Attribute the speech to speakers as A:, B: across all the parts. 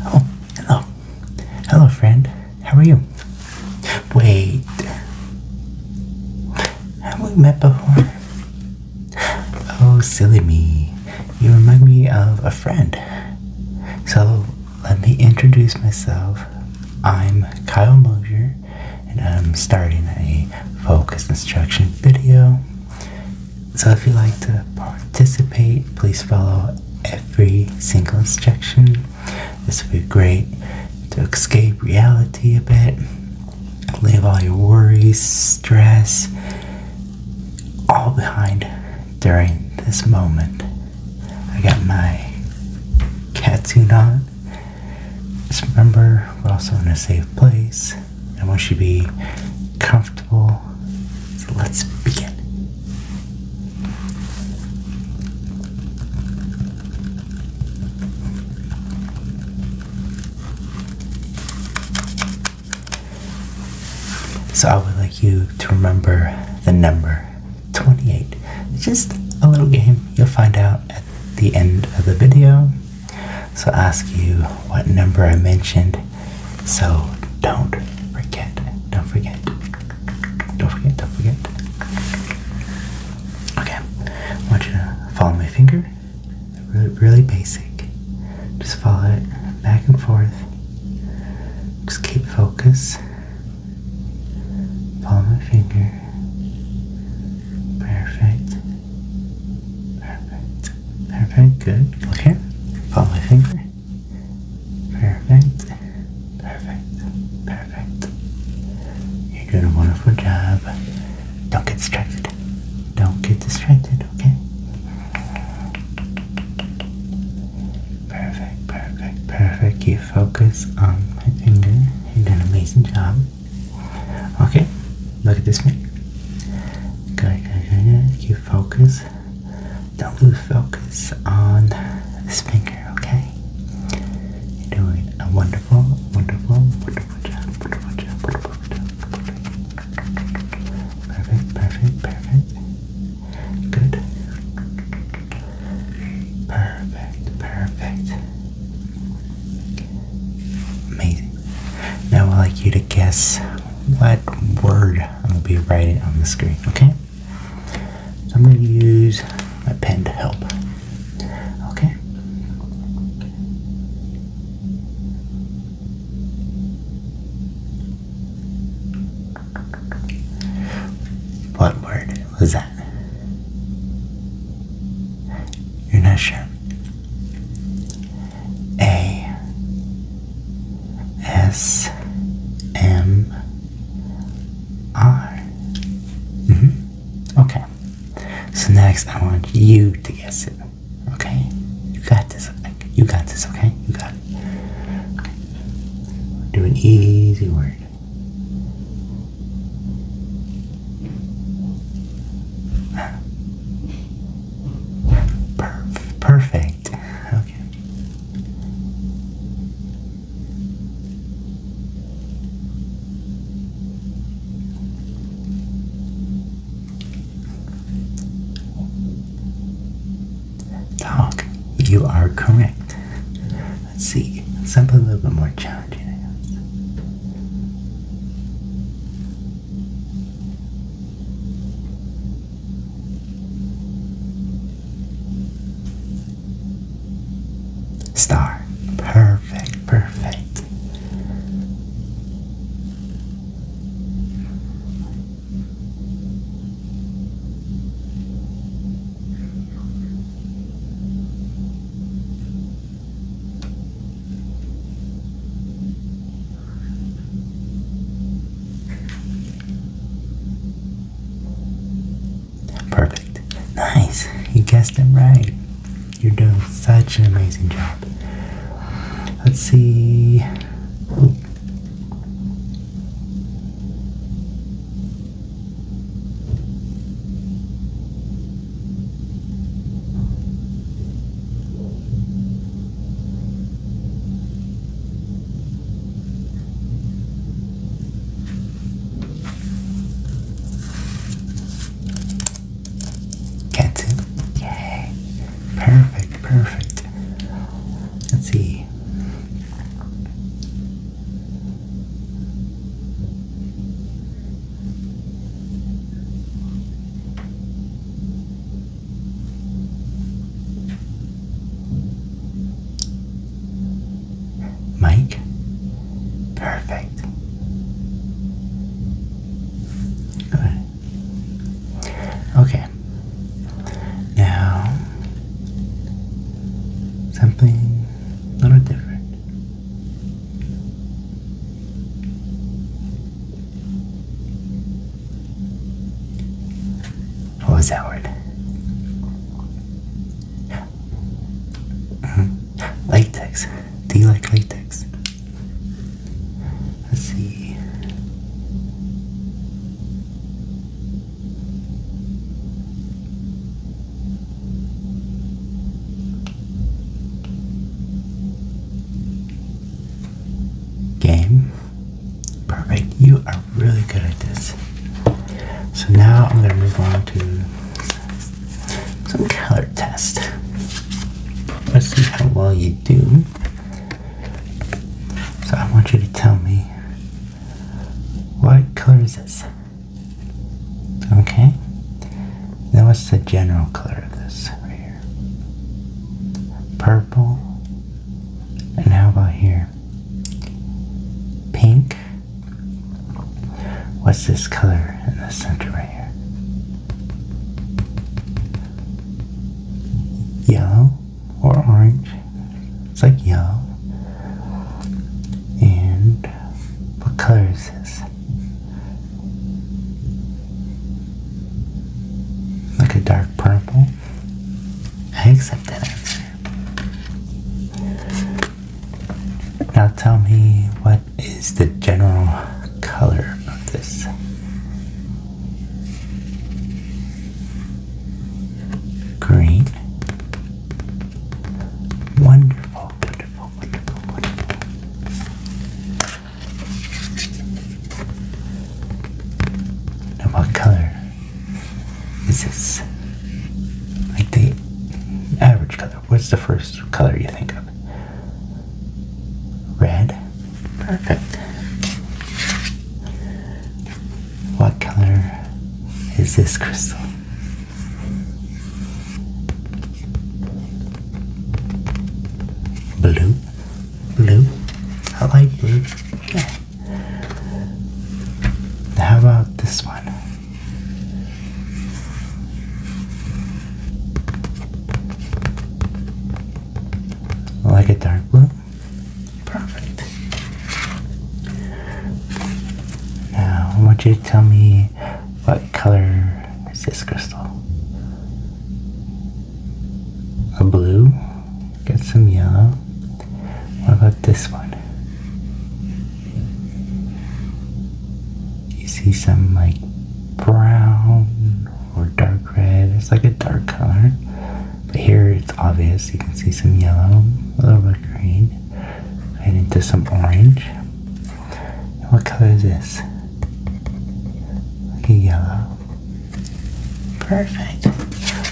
A: Oh, hello. Hello, friend. How are you? Wait. Have we met before? Oh, silly me. You remind me of a friend. So, let me introduce myself. I'm Kyle Mosier, and I'm starting a focus instruction video. So, if you'd like to participate, please follow every single instruction. This will be great to escape reality a bit Leave all your worries, stress, all behind during this moment. I got my catsuit on. Just remember, we're also in a safe place. I want you to be comfortable. So let's begin. So I would like you to remember the number 28. Just a little game you'll find out at the end of the video. So ask you what number I mentioned. So don't forget. Don't forget. Don't forget. Don't forget. Okay. I want you to follow my finger really basic. Just follow it back and forth. Just keep focus. Palm of finger. Perfect. Perfect. Perfect. Good. Look here. Follow my finger. Perfect. Perfect. Perfect. You're doing a wonderful job. Don't get distracted. Don't get distracted, okay? Perfect, perfect, perfect. You focus on my finger. You did an amazing job. Okay, look at this one. Good, good, good, good. You focus. Don't lose focus on this finger, okay? You're doing a wonderful, wonderful, wonderful Perfect, perfect, perfect. Good. Perfect, perfect. Amazing. Now I'd like you to guess what word I'm going to be writing on the screen, okay? So I'm going to use my pen to help. Okay? What word was that? You're not sure. A S M R. -hmm. Okay. So next, I want you to guess it. Okay? You got this. You got this, okay? You got it. Do an easy word. Perf perfect. Okay. Dog, you are correct. Let's see, something a little bit more challenging. Star. Perfect, perfect. Perfect. Nice. You guessed them right. You're doing such an amazing job. Let's see. Cat Yay. Perfect, perfect. Let's see. Mike? Perfect perfect. Okay. Now, something a little different. What was that word? Hmm. Latex. Do you like latex? Let's see. Game. Perfect. You are really good at this. So now I'm going to move on to some color test. Let's see how well you do. So I want you to tell me what color is this? Okay. Now what's the general color of this right here? Purple. And how about here? Pink. What's this color in the center right here? Yellow or orange? It's like yellow. And what color is this? Like a dark purple? I accept that answer. Now tell me what is the general color of this? Green. Wonderful, wonderful, wonderful, wonderful. Now, what color is this? Like the average color, What's the first color you think of? Red? Perfect. What color is this crystal? Blue? Blue? I like blue. How about this one? Like a dark blue? Perfect. Now, I want you to tell me what color is this crystal? A blue? Get some yellow. What about this one? you see some like brown or dark red. It's like a dark color. But here it's obvious. You can see some yellow, a little bit green, and into some orange. what color is this? yellow. Perfect.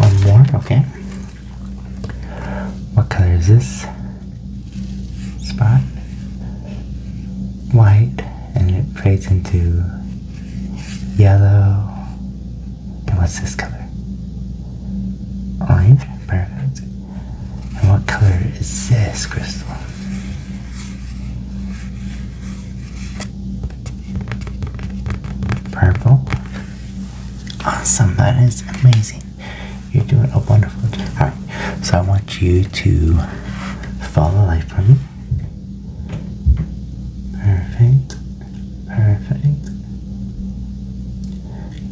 A: One more, okay. What color is this? spot white and it fades into yellow. And what's this color? Orange? Perfect. And what color is this crystal? Purple. Awesome, that is amazing. You're doing a wonderful job. All right. So I want you to follow the light for me. Perfect. Perfect.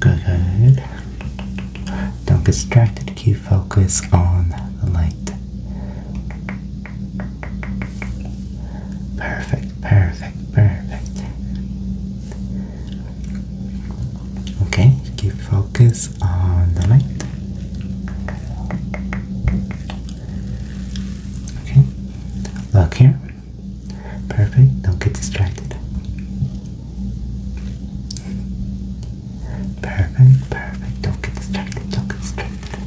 A: Good, good. Don't get distracted. Keep focus on the light. Perfect, perfect, perfect. Okay, keep focus on the light. Okay, look here. Perfect, don't get distracted. Perfect, perfect, don't get distracted, don't get distracted.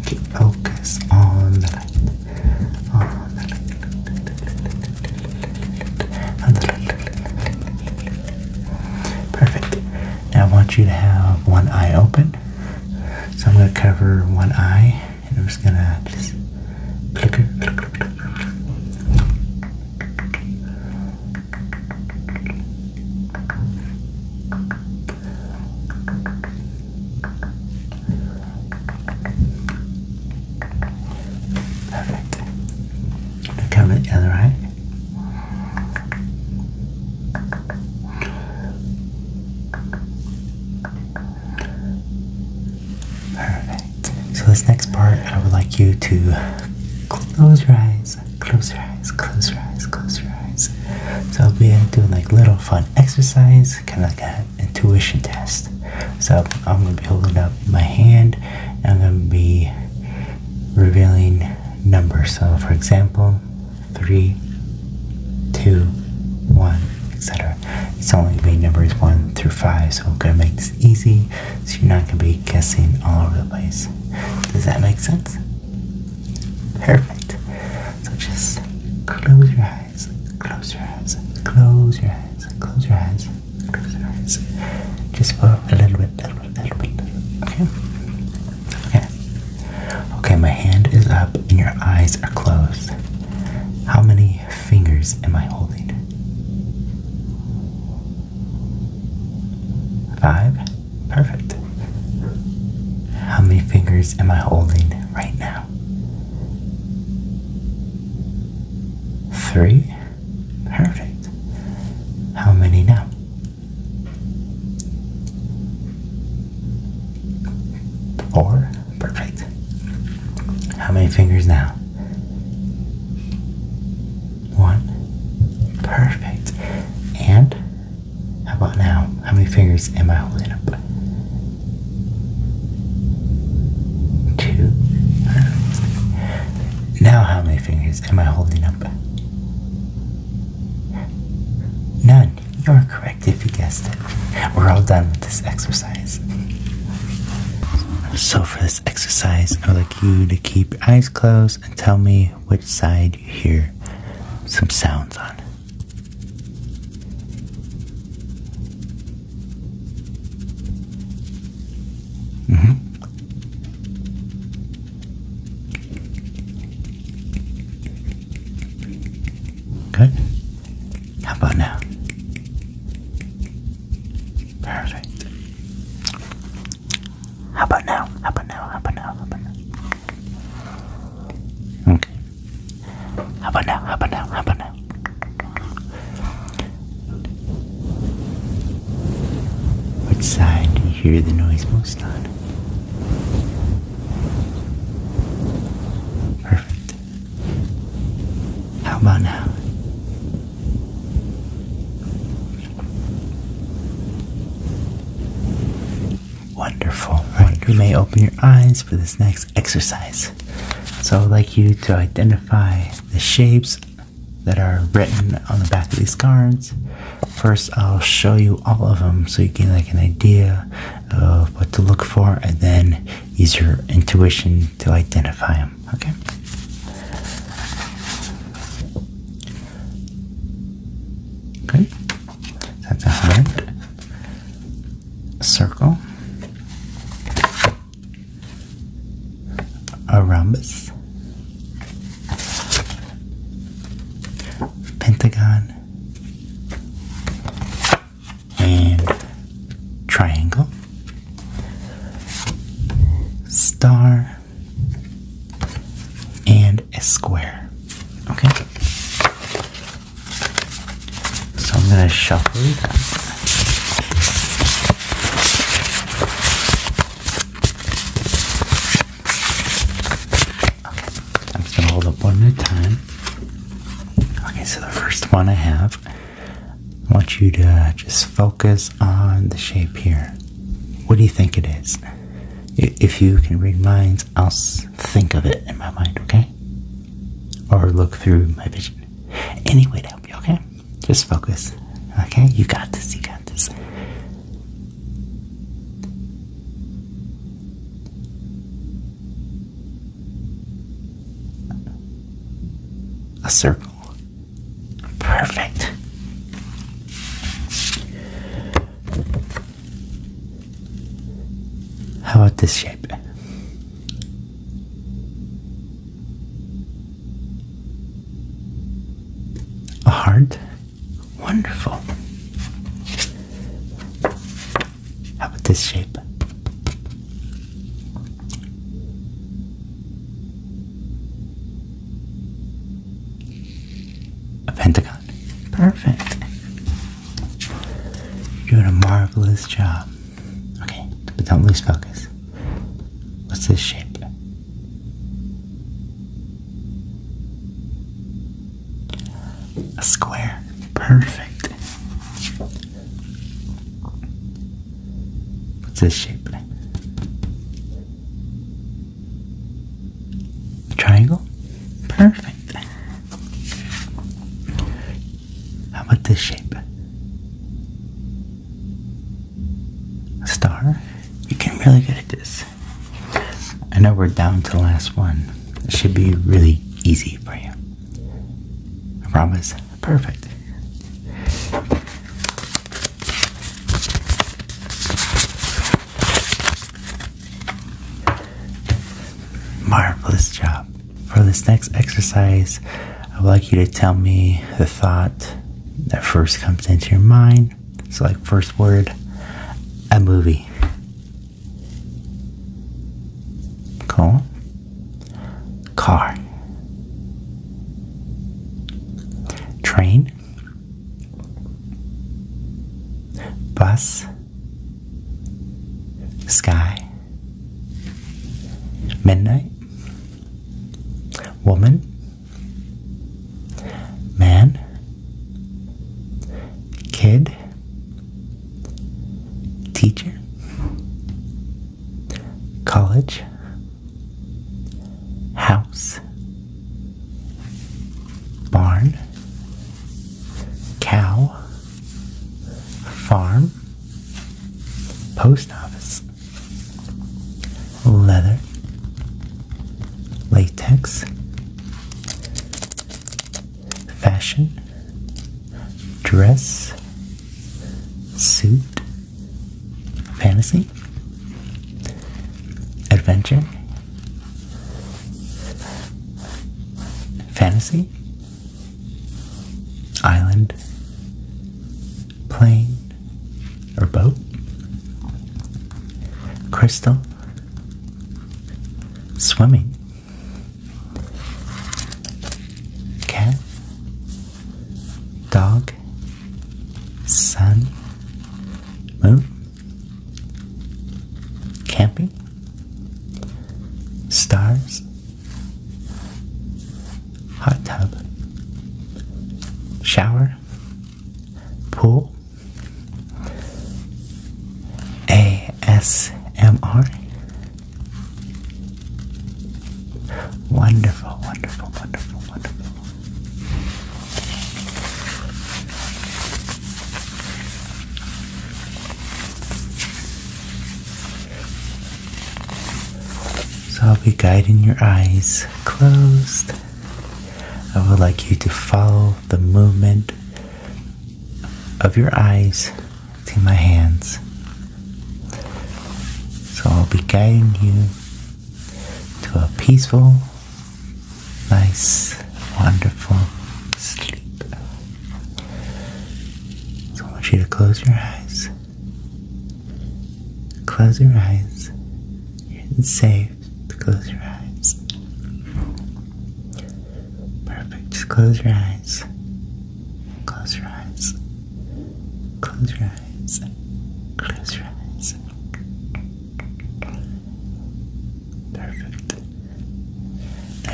A: Okay, focus on the light. Perfect. Now I want you to have one eye open. So I'm going to cover one eye and I'm just going to just flicker. Perfect. Cover the other eye. Perfect. So this next part, I would like you to close your eyes, close your eyes, close your eyes, close your eyes. So I'll be doing like little fun exercise, kind of like a intuition test. So I'm gonna be holding up my hand and I'm gonna be revealing numbers. So for example, three, two, one, etc. It's only gonna be numbers one through five, so we're gonna make this easy so you're not gonna be guessing all over the place. Does that make sense? Perfect. So just close your eyes close your eyes, close your eyes, close your eyes, close your eyes. Just for a little bit, little bit, little bit. Okay. Okay. Okay, my hand is up and your eyes are closed. How many fingers am I holding? Five? Perfect. How many fingers am I holding right now? Three? Perfect. How many now? Four? Perfect. How many fingers now? One. Perfect. And how about now? How many fingers am I holding up? Two. Now, how many fingers am I holding up? None. You are correct if you guessed it. We're all done with this exercise. So, for this exercise, I would like you to keep your eyes closed and tell me which side you hear some sounds on. Mm -hmm. Good. How about now? Perfect. How about now? How about now? How about now? Okay. How about now? How about now? How about now? Which side do you hear the noise most on? Perfect. How about now? Wonderful. Right. You may open your eyes for this next exercise. So I would like you to identify the shapes that are written on the back of these cards. First, I'll show you all of them so you get like an idea of what to look for, and then use your intuition to identify them. Okay. Okay. That's a heart a circle, a rhombus, pentagon, and triangle, star, and a square. Okay, so I'm going to shuffle that. I'm just going to hold up one at a time. Okay, so the first one I have, I want you to just focus on the shape here. What do you think it is? If you can read minds, I'll think of it in my mind, okay? Or look through my vision. Any way to help you, okay? Just focus. Okay? You got this, you got this. A circle. Perfect. How about this shape? A heart? Wonderful. How about this shape? A pentagon. Perfect. You're doing a marvelous job. Okay, but don't lose focus. What's this shape? A square. Perfect. What's this shape? A triangle? Perfect. How about this shape? star? You're getting really good at this. I know we're down to the last one. It should be really easy for you. I promise. Perfect. Marvelous job. For this next exercise, I would like you to tell me the thought that first comes into your mind. So, like, first word, a movie. Cool. Car. Train. Bus. Sky. Midnight. Woman. Man. Kid. Teacher. College. House. Barn. Cow farm, post office, leather, latex, fashion, dress, suit, fantasy, adventure, Fantasy? Island? Plane? Or boat? Crystal? Swimming? Cat? Dog? Sun? Moon? Camping? Stars? Hot tub? Shower? Pool? ASMR? Wonderful, wonderful, wonderful, wonderful. So I'll be guiding your eyes closed. I would like you to follow the movement of your eyes to my hands. So I'll be guiding you to a peaceful, nice, wonderful sleep. So I want you to close your eyes. Close your eyes. It's safe close your eyes. Perfect. Just close your eyes. Close your eyes. Close your eyes. Close your eyes. Perfect.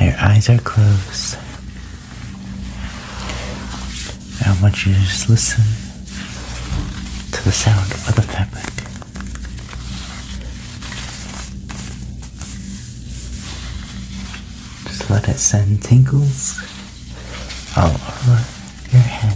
A: your eyes are closed. I want you to just listen to the sound of the fabric. Just let it send tingles all over your head.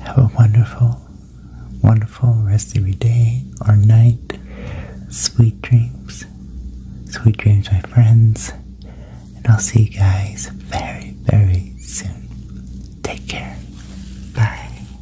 A: Have a wonderful, wonderful rest of your day or night. Sweet dreams. Sweet dreams, my friends. And I'll see you guys very, very soon. Take care. Bye.